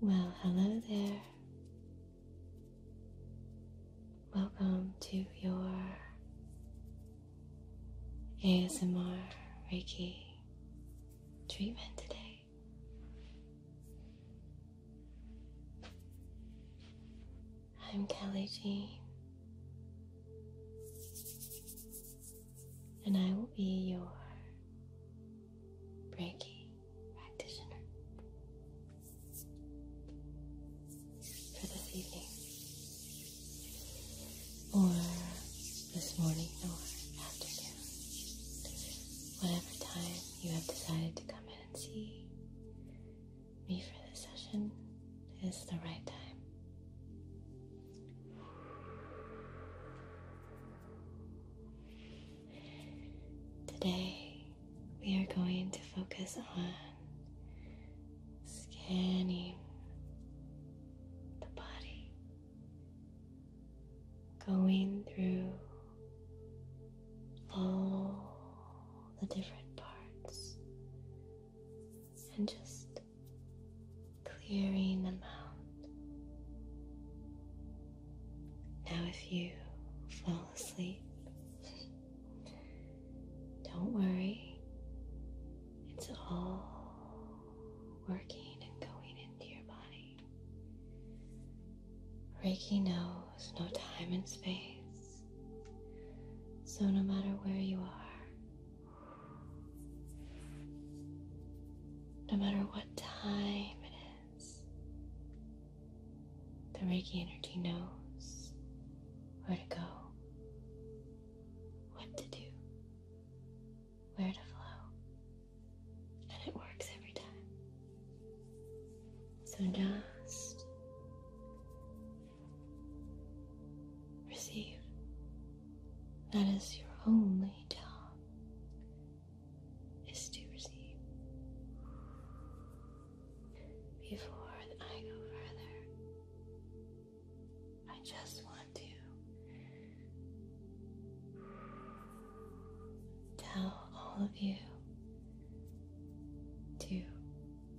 Well, hello there. Welcome to your ASMR Reiki treatment today. I'm Kelly Jean, and I will be your Reiki practitioner for this evening, or this morning, or afternoon, whatever time you have decided to come in and see me for this session is the right time. Today, we are going to focus on scanning the body, going through all the different parts and just clearing them out. Now, if you fall asleep, don't worry, it's all working and going into your body. Reiki knows no time and space. So, no matter where you are, no matter what time it is, the Reiki energy knows where to go, what to do, where to flow, and it works every time. So, just Receive. That is your only job. Is to receive. Before I go further, I just want to tell all of you to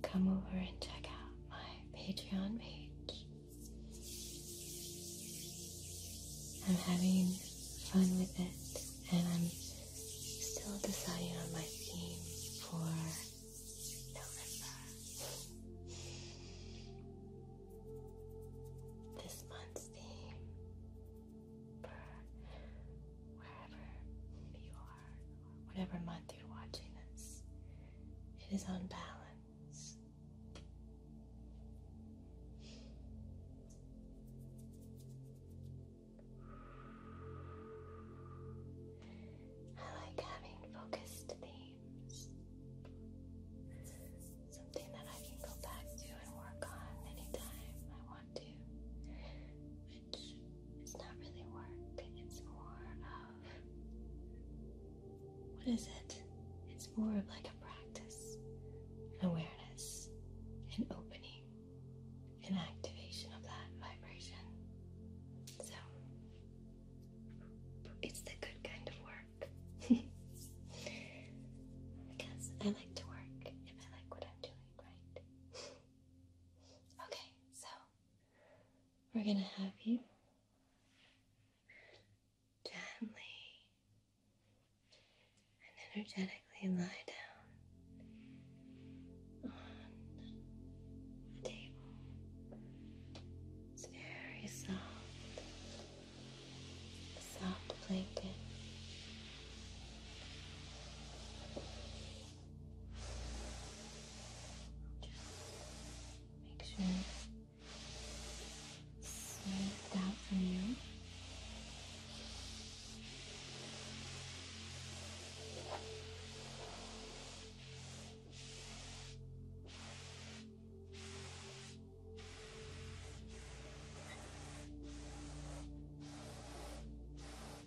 come over and check out my Patreon page. I'm having fun with it, and I'm still deciding on my theme for November. This month's theme for wherever you are, whatever month through watching us. It is unbalanced. I like having focused themes. Something that I can go back to and work on anytime I want to which not really work, it's more of what is it? It's more of like a practice, an awareness, an opening, an activation of that vibration. So it's the good kind of work. because I like to work if I like what I'm doing, right? okay, so we're going to have you gently and energetically lie down on the table. It's very soft, soft blanket. Make sure it's smoothed out for you. Good.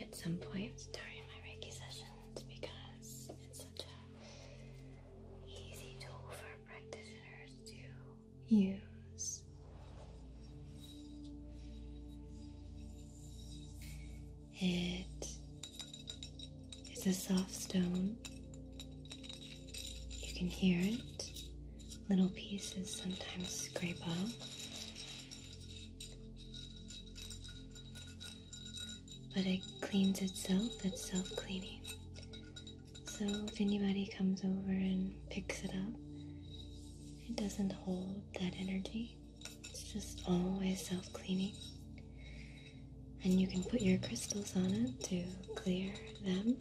at some point during my Reiki sessions because it's such a easy tool for practitioners to use. It is a soft stone. You can hear it little pieces sometimes scrape off, But it cleans itself, it's self cleaning. So if anybody comes over and picks it up, it doesn't hold that energy. It's just always self cleaning. And you can put your crystals on it to clear them.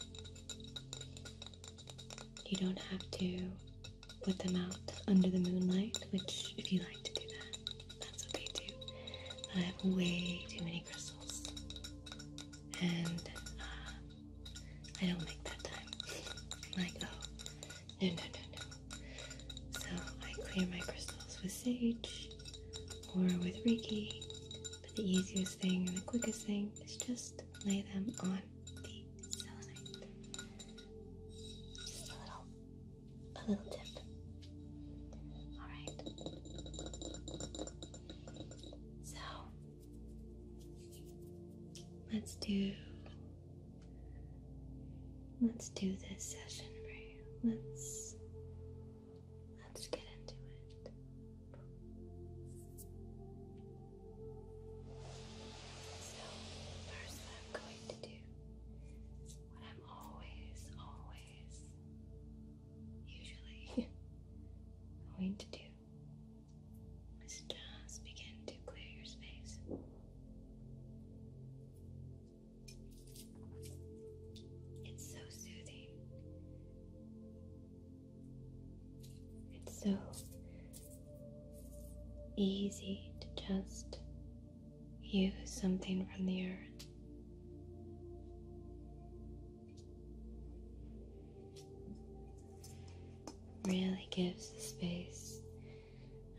You don't have to put them out under the moonlight, which, if you like to do that, that's okay too. But I have way too many crystals, and uh, I don't make that time. I'm like, oh, no, no, no, no. So I clear my crystals with sage or with Reiki, but the easiest thing and the quickest thing is just lay them on a little, a little tip. All right. So let's do, let's do this session for you. Let's let's get into it. So, first, I'm going to do, what I'm always, always, usually going to do, is just begin to clear your space. It's so soothing. It's so easy to just use something from the earth. Really gives the space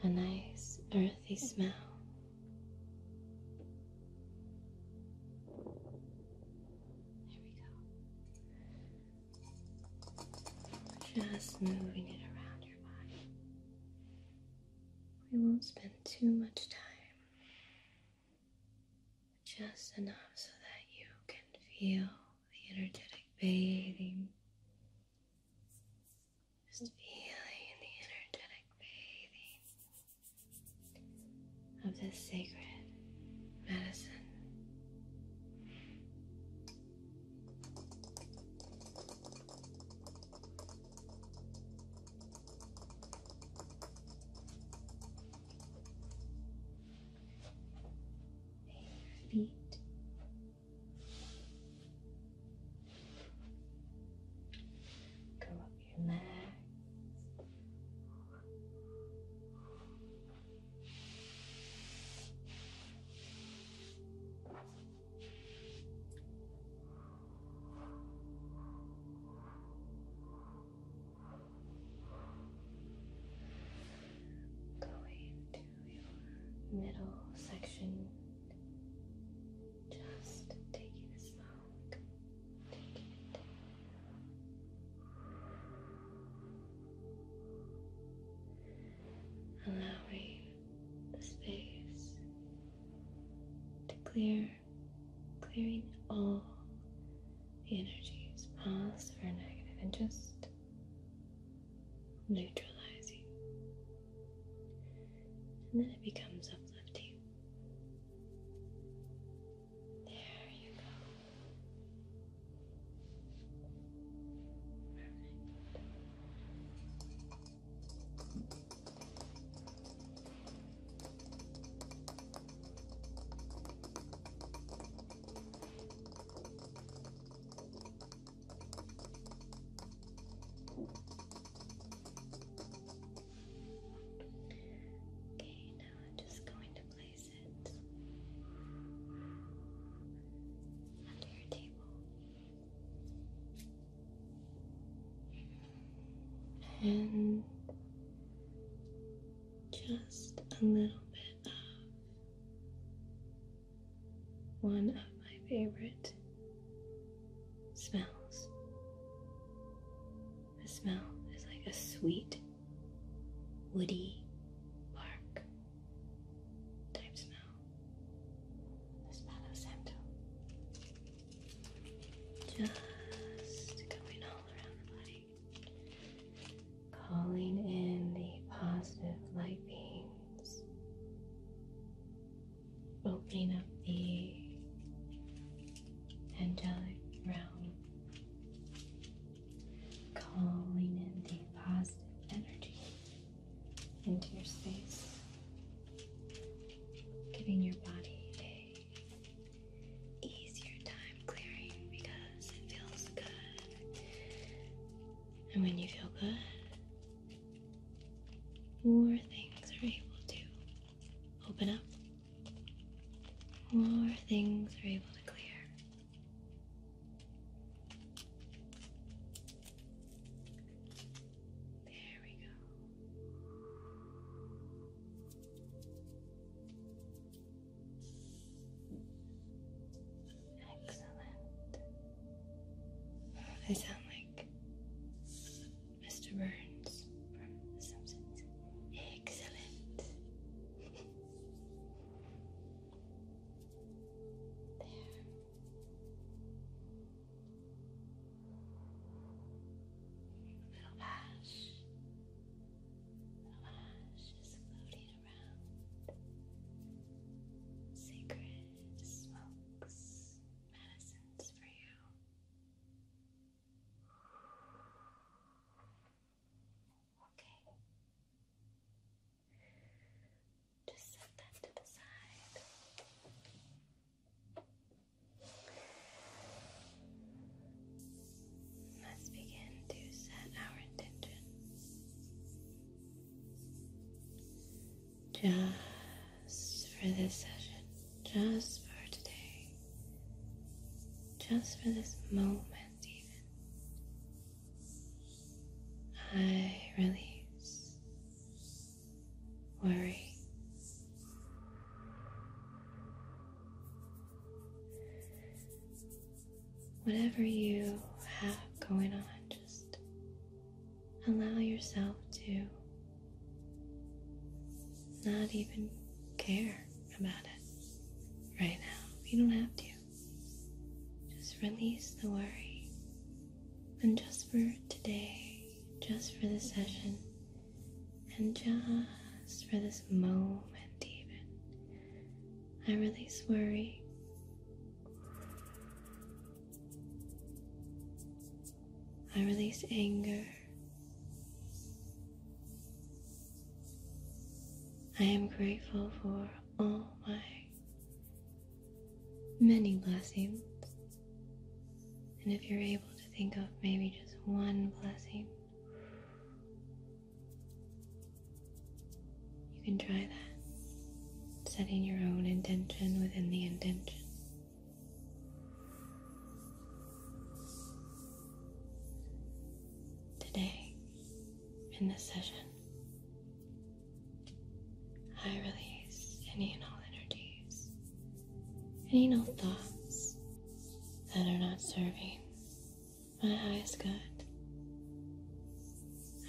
a nice earthy smell. There we go. Just moving it around your body. We won't spend too much time, just enough so that you can feel the energetic bathing. Just feeling the energetic bathing of this sacred medicine. Your feet. Go up your legs. Going to your middle section, just taking a smoke, taking it down allowing the space to clear, clearing all the energies, positive or negative, and just neutralizing. And then it becomes uplifting. There you go. Okay, now I'm just going to play under your table. And just a little bit of one of my favorite smells. The smell is like a sweet woody Park. type smell. The smell of sandal. Just going all around the body. Calling in the positive light beings, Opening up the angelic realm calling in the positive energy into your space, giving your body a easier time clearing because it feels good. And when you feel good, more things are able to open up. More things are able to clear. There we go. Excellent. I sound like Mr. Burns from The Simpsons. Excellent. There. Little ash. Little ash is floating around. Sacred smokes, medicines for you. Okay. Just set that to the side. Let's begin to set our intention. Just for this session, just for today, just for this moment, even. I release worry. Whatever you have going on, just allow yourself to not even care about it right now. You don't have to. Just release the worry. And just for today, just for the session, and just for this moment, even, I release worry. I release anger. I am grateful for all my many blessings. And if you're able to think of maybe just one blessing, you can try that. Setting your own intention within the intention. Today, in this session, I release any and all energies, any and all thoughts that are not serving my highest good.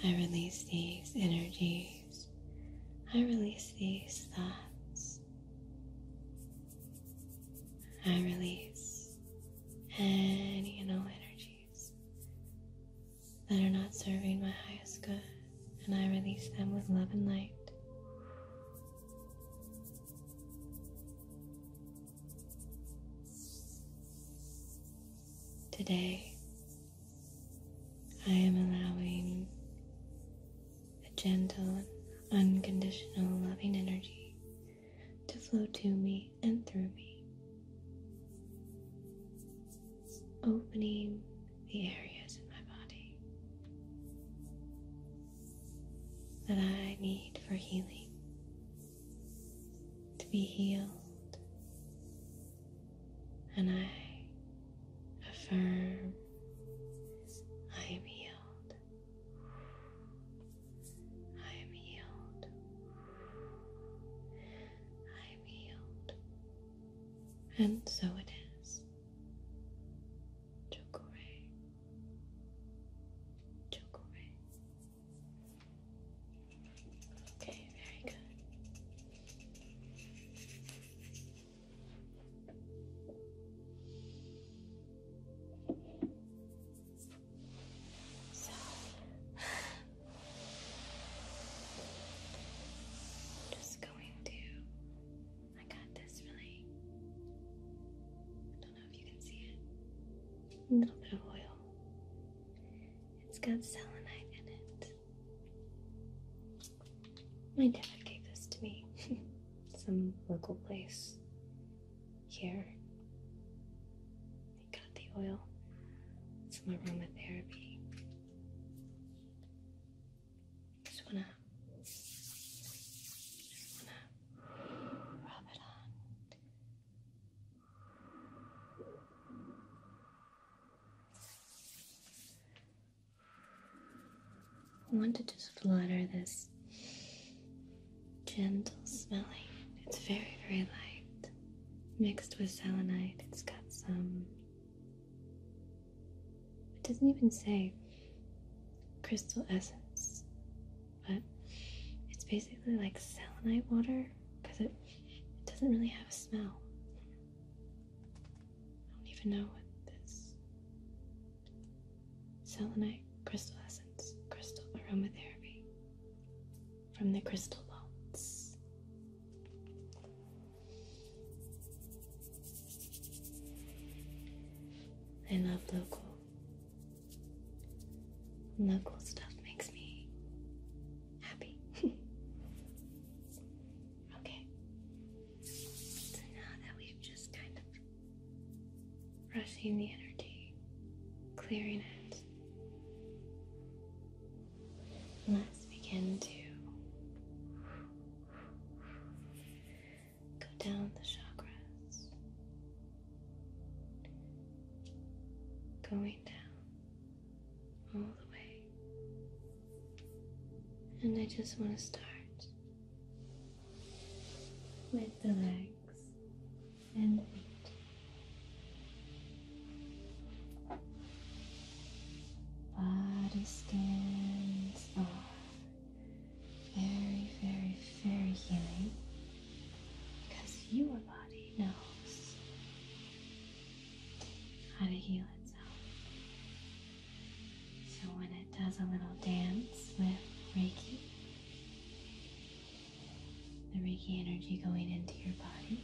I release these energies. I release these thoughts. I release any and all energies that are not serving my highest good, and I release them with love and light. Today, I am allowing a gentle, unconditional, loving energy to flow to me and through me, opening the areas in my body that I need for healing, to be healed, and I affirm I am healed. I am healed. I am healed. And so it is. Chokore. Chokore. Okay, very good. So, just going to. I got this really. don't know if you can see it. A little bit of oil. It's got selenite in it. My dad gave this to me. Some local place here. I got the oil, some aromatherapy. Just wanna, just wanna rub it on. I want to just flutter this gentle smelling. It's very, very light mixed with selenite. It's got some. It doesn't even say crystal essence, but it's basically like selenite water because it, doesn't really have a smell. I don't even know what this selenite crystal essence, crystal aromatherapy from the crystal balls. I love local. Local stuff makes me happy. okay. So now that we've just kind of brushing the energy, clearing it, Let's begin to go down the chakras, going down all the way. And I just want to start with the legs and feet. Body scans are very, very, very healing because your body knows how to heal itself. So when it does a little dance with Reiki, the Reiki energy going into your body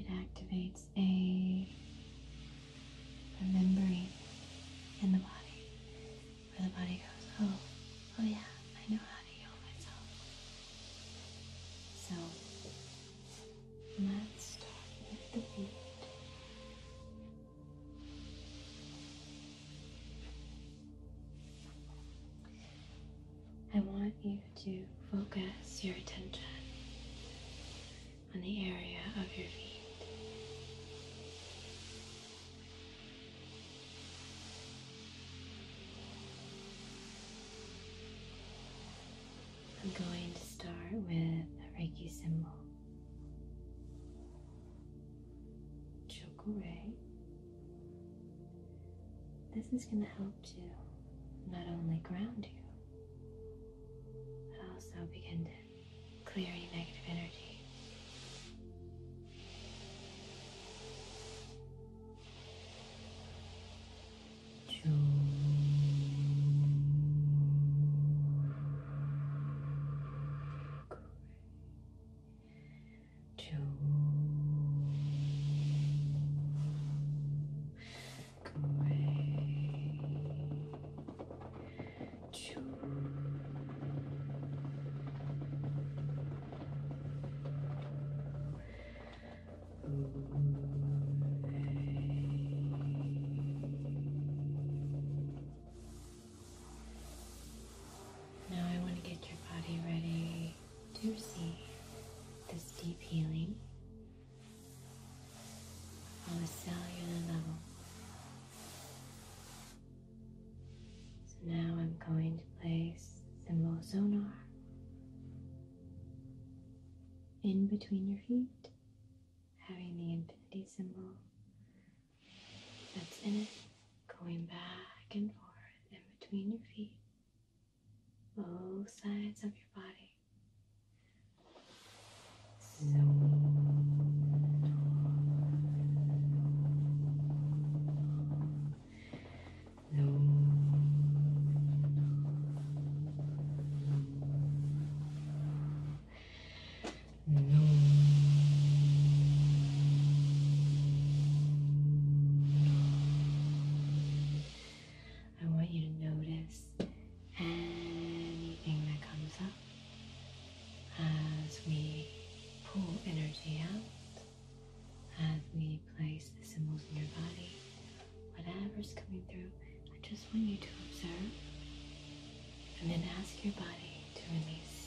it activates a remembering in the body where the body goes, oh, oh yeah, I know how to heal myself. So let's start with the feet. I want you to focus your attention on the area of your feet. I'm going to start with a Reiki symbol. Choco this is going to help to not only ground you, but also begin to clear any negative energy. Great two. Great. Two. Now I want to get your body ready to see this deep healing on a cellular level. So now I'm going to place the Mozonar in between your feet, having the infinity symbol that's in it going back and forth in between your feet both sides of your body. No. No. I want you to notice anything that comes up as we pull energy out, as we place the symbols in your body, whatever's coming through. I just want you to observe and then ask your body to release.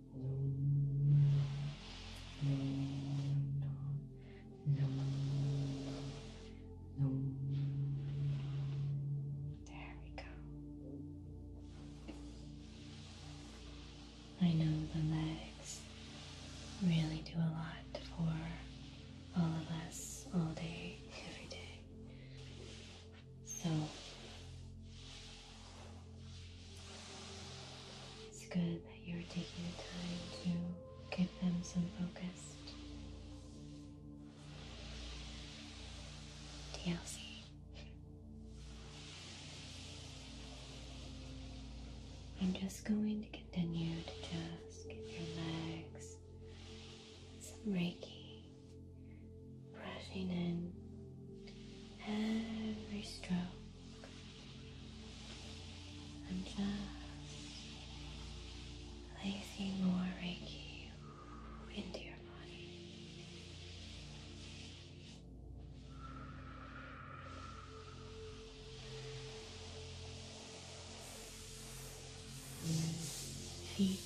There we go. I know the legs really do a lot for all of us all day, every day. So it's good that you're taking the time to give them some focused DLC. I'm just going to continue to just give your legs some Reiki brushing in every stroke I'm just placing more Reiki into your body. Feet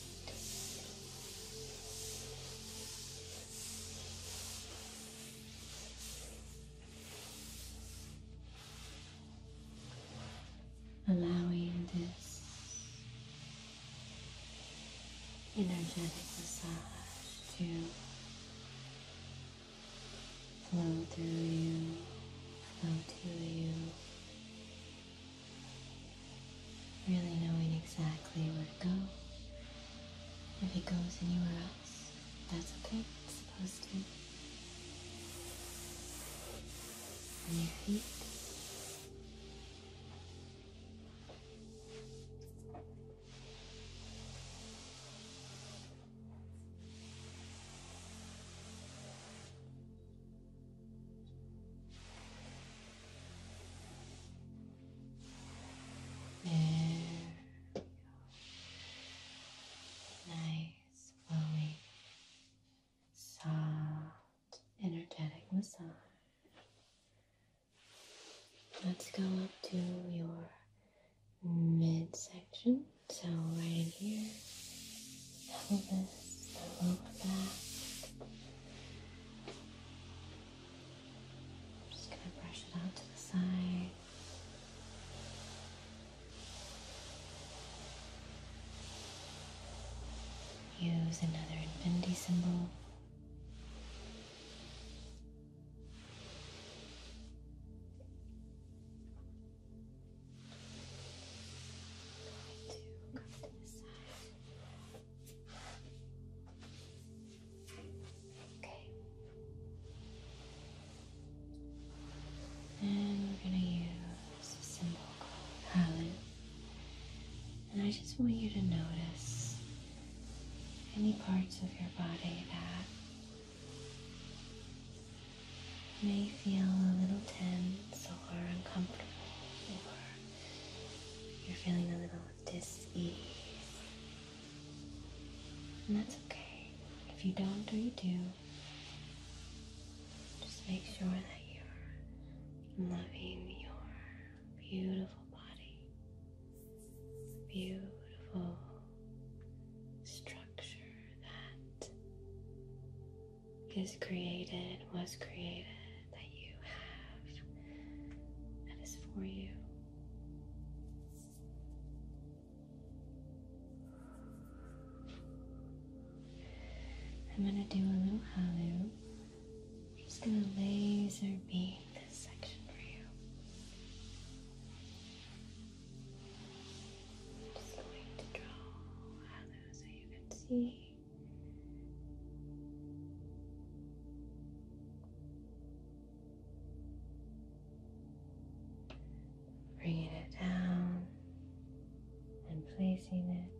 allowing this energetic massage to flow through you, flow to you, really knowing exactly where to go if it goes anywhere else, that's okay. It's supposed to. And your feet. There Nice, flowing, soft, energetic massage. Let's go up to your midsection. So, right here, pelvis, lower back. I'm just going to brush it out to the side. Use another infinity symbol. to come side. Okay. And we're going to use a symbol called palette. And I just want you to notice any parts of your body that may feel a little tense or uncomfortable or you're feeling a little of dis-ease. And that's okay. If you don't or you do, just make sure that you're loving your beautiful body, beautiful structure that is created, was created, that you have, that is for you. I'm going to do a little halo. just going to laser beam this section for you. just going to draw a so you can see. Bringing it down and placing it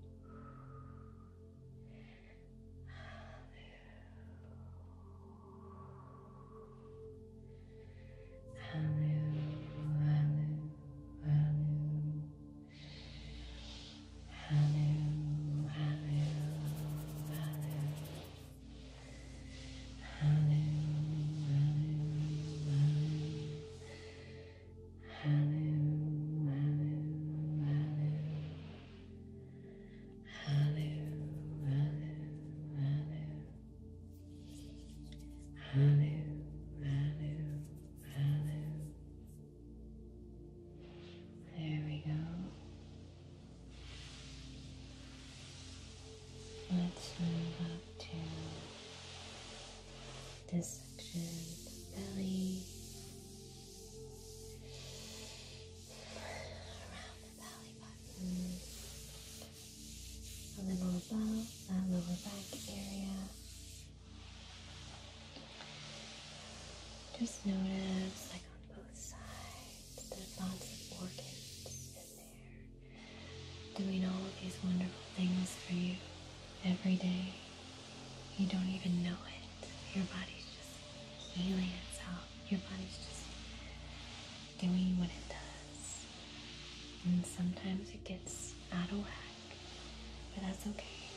Hallelujah, hallelujah, hallelujah, hallelujah, hallelujah, Hallelujah, Hallelujah, Hallelujah, Hallelujah, Hallelujah, Hallelujah. There we go. Let's move up to this section of the belly, around the belly button, a little above that lower back area. Just notice, like on both sides. There's lots of organs in there doing all of these wonderful things for you every day. You don't even know it. Your body's just healing itself. Your body's just doing what it does. And sometimes it gets out of whack, but that's okay.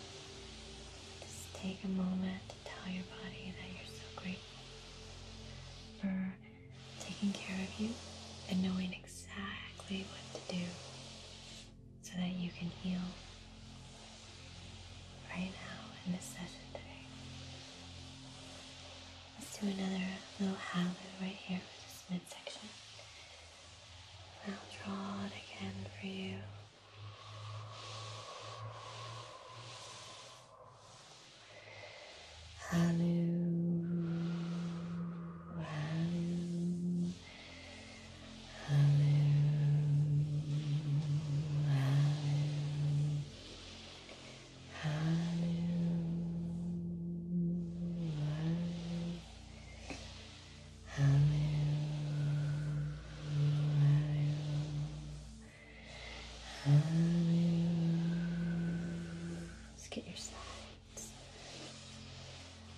Just take a moment tell your body that you're so grateful for taking care of you and knowing exactly what to do so that you can heal right now in this session today. Let's do another little halloo right here with this midsection. And I'll draw it again for you. Hallelujah, hello, hello, hello. Hello, hello, Let's get your sides.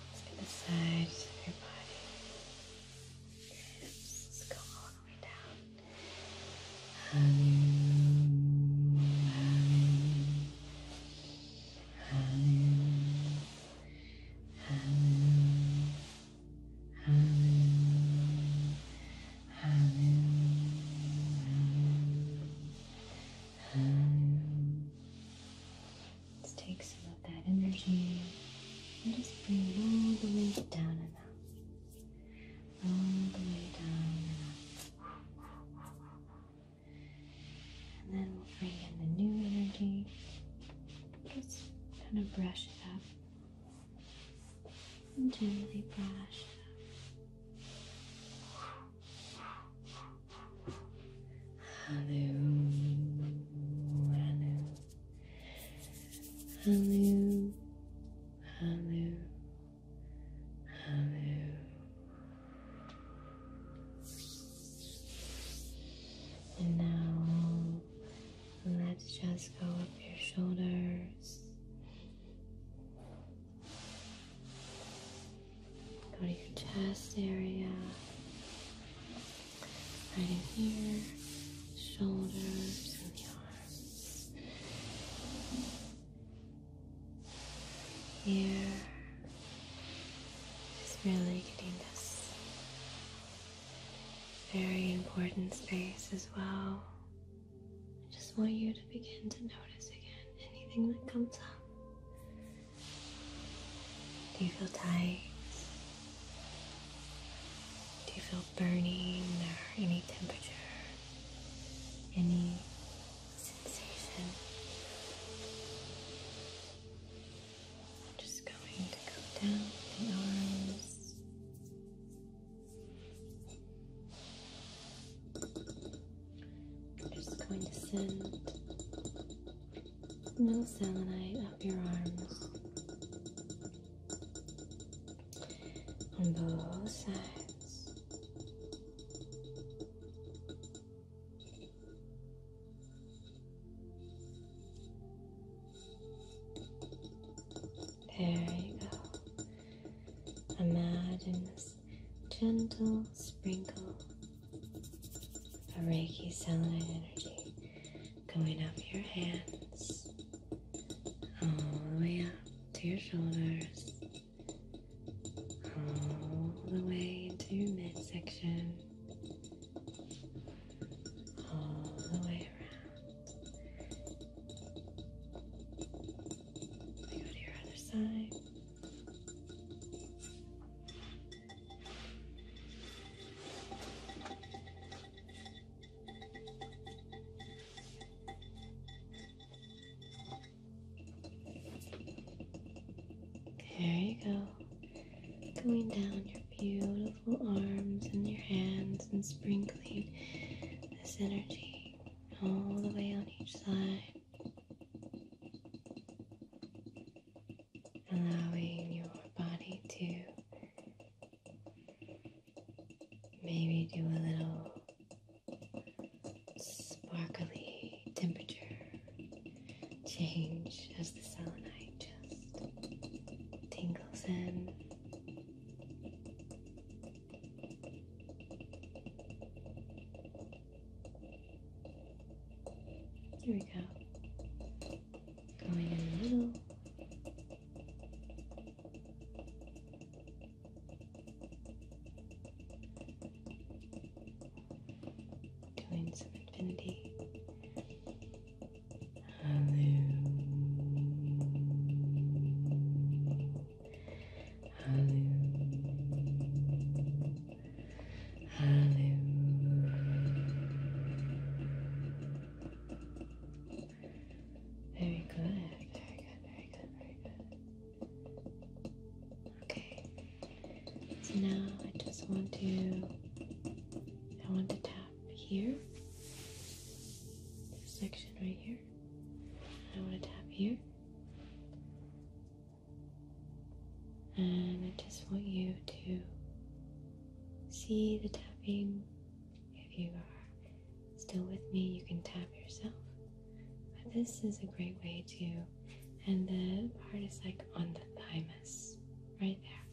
Let's get the sides of your body. Let's go all the way down. Hallelujah. Hallelujah. Hallelujah. Hallelujah. Let's take some of that energy and just bring it all the way down and up. All the way down and up. And then we'll bring in the new energy. Just kind of brush it up and gently brush Hello, hello, hello, hello, And now let's just go up your shoulders Go to your chest area, right in here, shoulders and the arms, here, just really getting this very important space as well. I just want you to begin to notice again anything that comes up. Do you feel tight? Do you feel burning or any temperature? Any sensation? I'm just going to go down the arms I'm just going to send a little selenite up your arms on both sides. There you go. Imagine this gentle sprinkle of Reiki selenite energy going up your hands, all the way up to your shoulders, all the way into your midsection, all the way around. There you go. Going down your beautiful arms and your hands and sprinkling this energy all the way on each side, allowing your body to maybe do a little sparkly temperature change as the selenite just tingles in. There we go. Going in the Doing some infinity. Hello. Hello. Hello. Very good. Very good. Very good. Very good. Okay. So now I just want to I want to tap here. This section right here. I want to tap here. And I just want you to see the tapping. If you are still with me, you can tap yourself. But this is a great way to, and the part is like on the thymus, right there.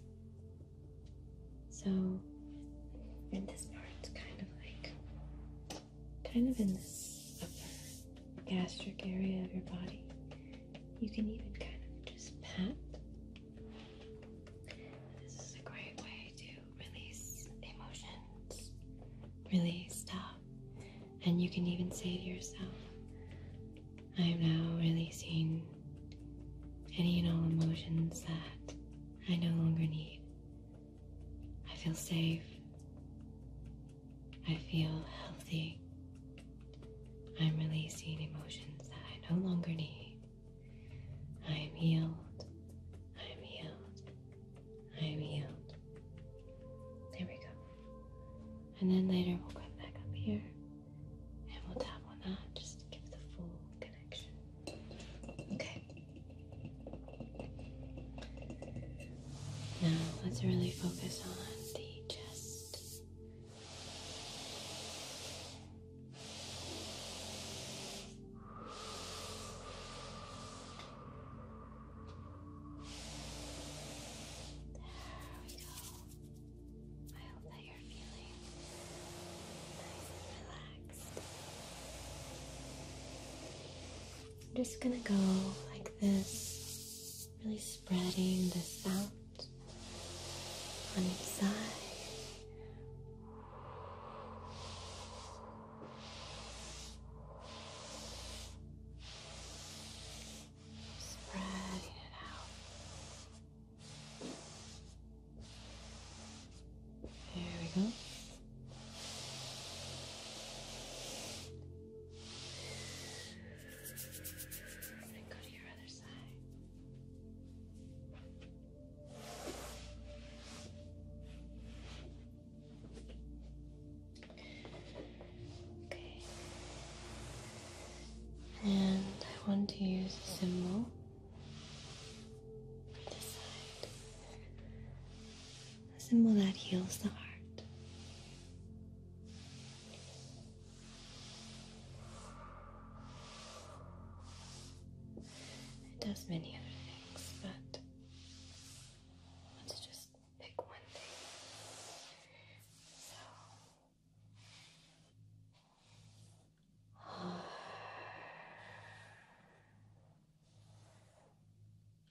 So, and this part's kind of like kind of in this upper gastric area of your body. You can even kind of just pat. This is a great way to release emotions, release stuff, and you can even say to yourself, I am now releasing any and all emotions that I no longer need. I feel safe. I feel healthy. I'm releasing emotions that I no longer need. I am healed. I am healed. I am healed. There we go. And then later we'll come back up here and we'll tap on that just to give the full connection. Okay. Now let's really focus on the chest. There we go. I hope that you're feeling nice and relaxed. I'm just gonna go like this, really spreading this out on each side. Spreading it out. There we go. And go to your other side. Okay. And I want to use a symbol a symbol that heals the heart. It does many other things, but let's just pick one thing. So,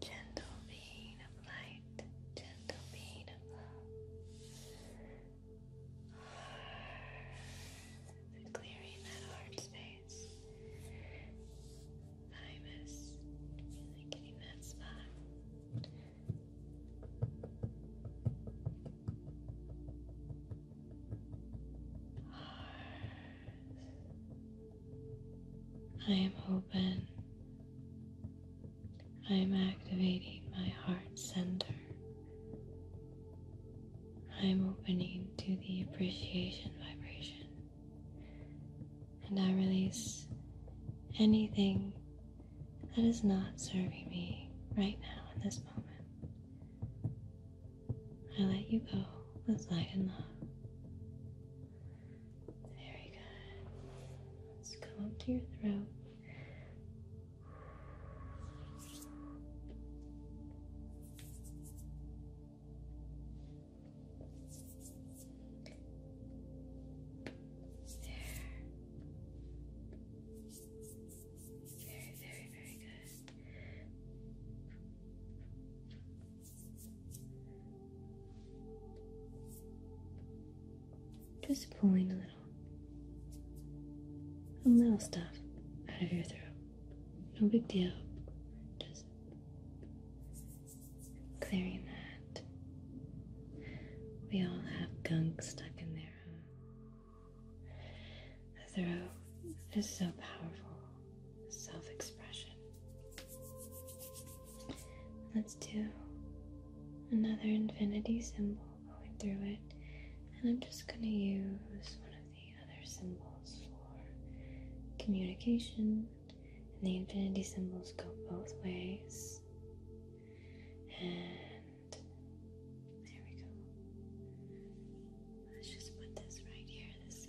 Gentle being of light, gentle being of love. Clearing that heart space. Thymus, really getting that spot. I am open. I am activating my heart center. I am opening to the appreciation vibration. And I release anything that is not serving me right now in this moment. I let you go with light and love. Very good. Let's come up to your throat. There. Very, very, very good. Just pulling a little, a little stuff out of your throat. No big deal. Just clearing that. We all have gunk stuck in there, The throat is so powerful self expression. Let's do another infinity symbol going through it, and I'm just going to use one of the other symbols for communication. And the infinity symbols go both ways. And there we go. Let's just put this right here, this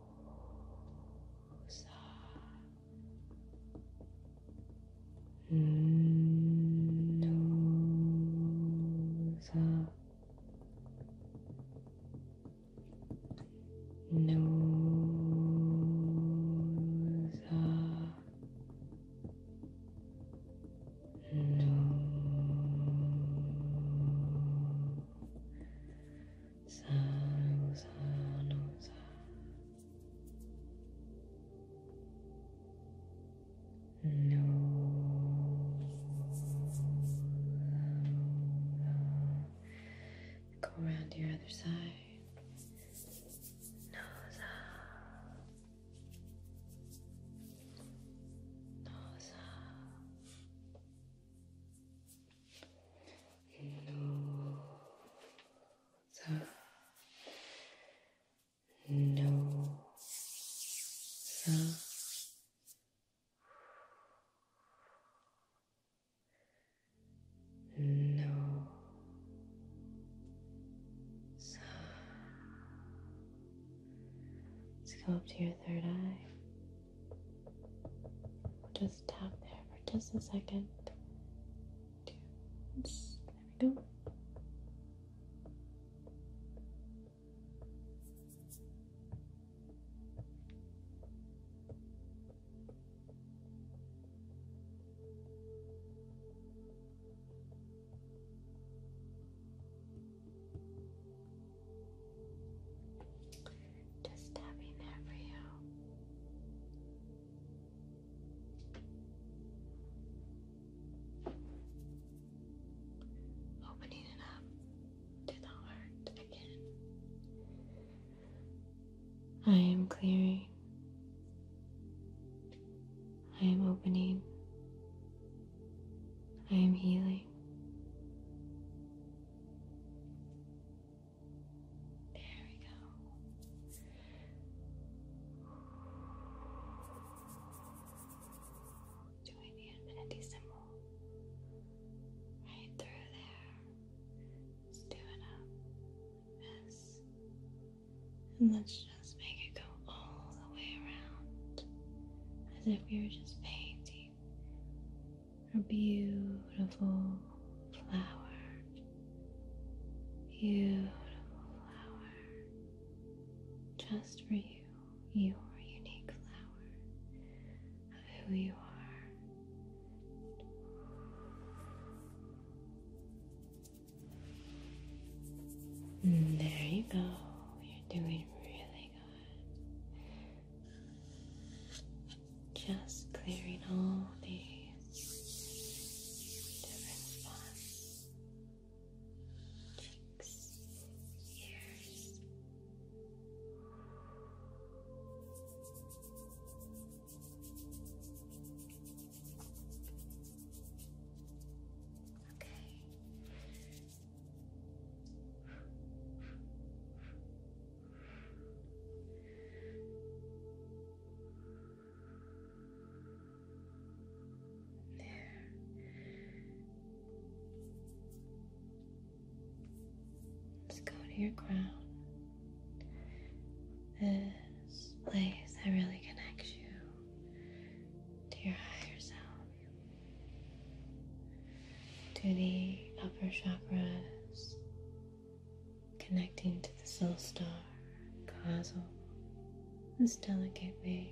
Nose, Sano, sano, sano. No. Go around to your other side. No, sano no, no, no, so let's go up to your third eye. We'll just tap there for just a second. there we go. Just tapping that for you. Opening it up to the heart again. I am clearing. I am opening. I am healing. There we go. Doing the infinitesimal right through there. Just do it up. And let's just make it go all the way around as if we were just painting a beautiful flower, beautiful flower, just for you, your unique flower of who you are. Mm, there you go, you're doing really good. Just clearing all the different spots cheeks, ears. Okay, Let's go to your crown. This place that really connects you to your higher self to the upper chakras, connecting to the soul star, causal, this delicate way.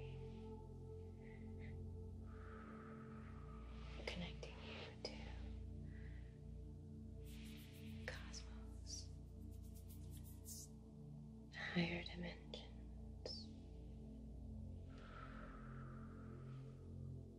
Connecting you to cosmos, higher dimensions.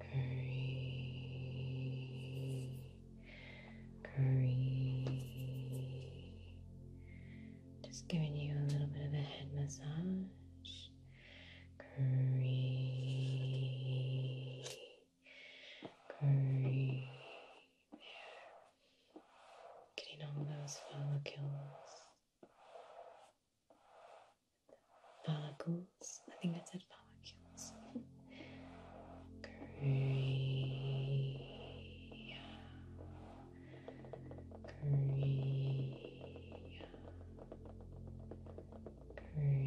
curry, curry. Just giving you a little bit of a head massage. Curry, curry. Getting all those follicles follicles. I think I said follicles. Korea. Korea. Korea. Korea.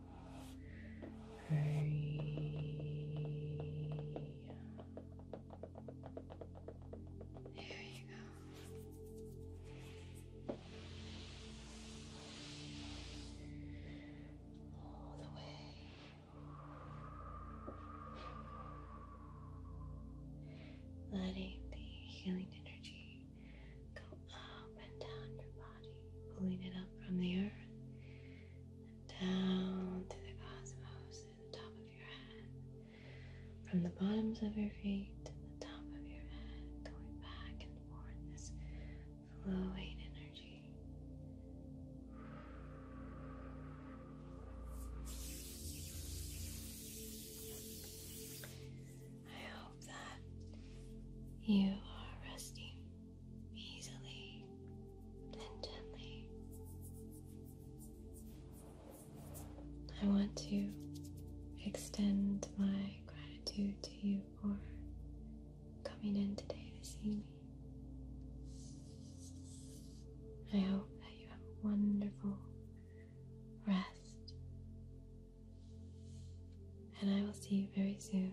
there you go. All the way. Letting the healing energy go up and down your body, pulling it up from the earth down to the cosmos and the top of your head. From the bottoms of your feet to the top of your head, going back and forth, this flowing energy. I hope that you are resting easily and gently. I want to extend my gratitude to you for coming in today to see me. I hope that you have a wonderful rest, and I will see you very soon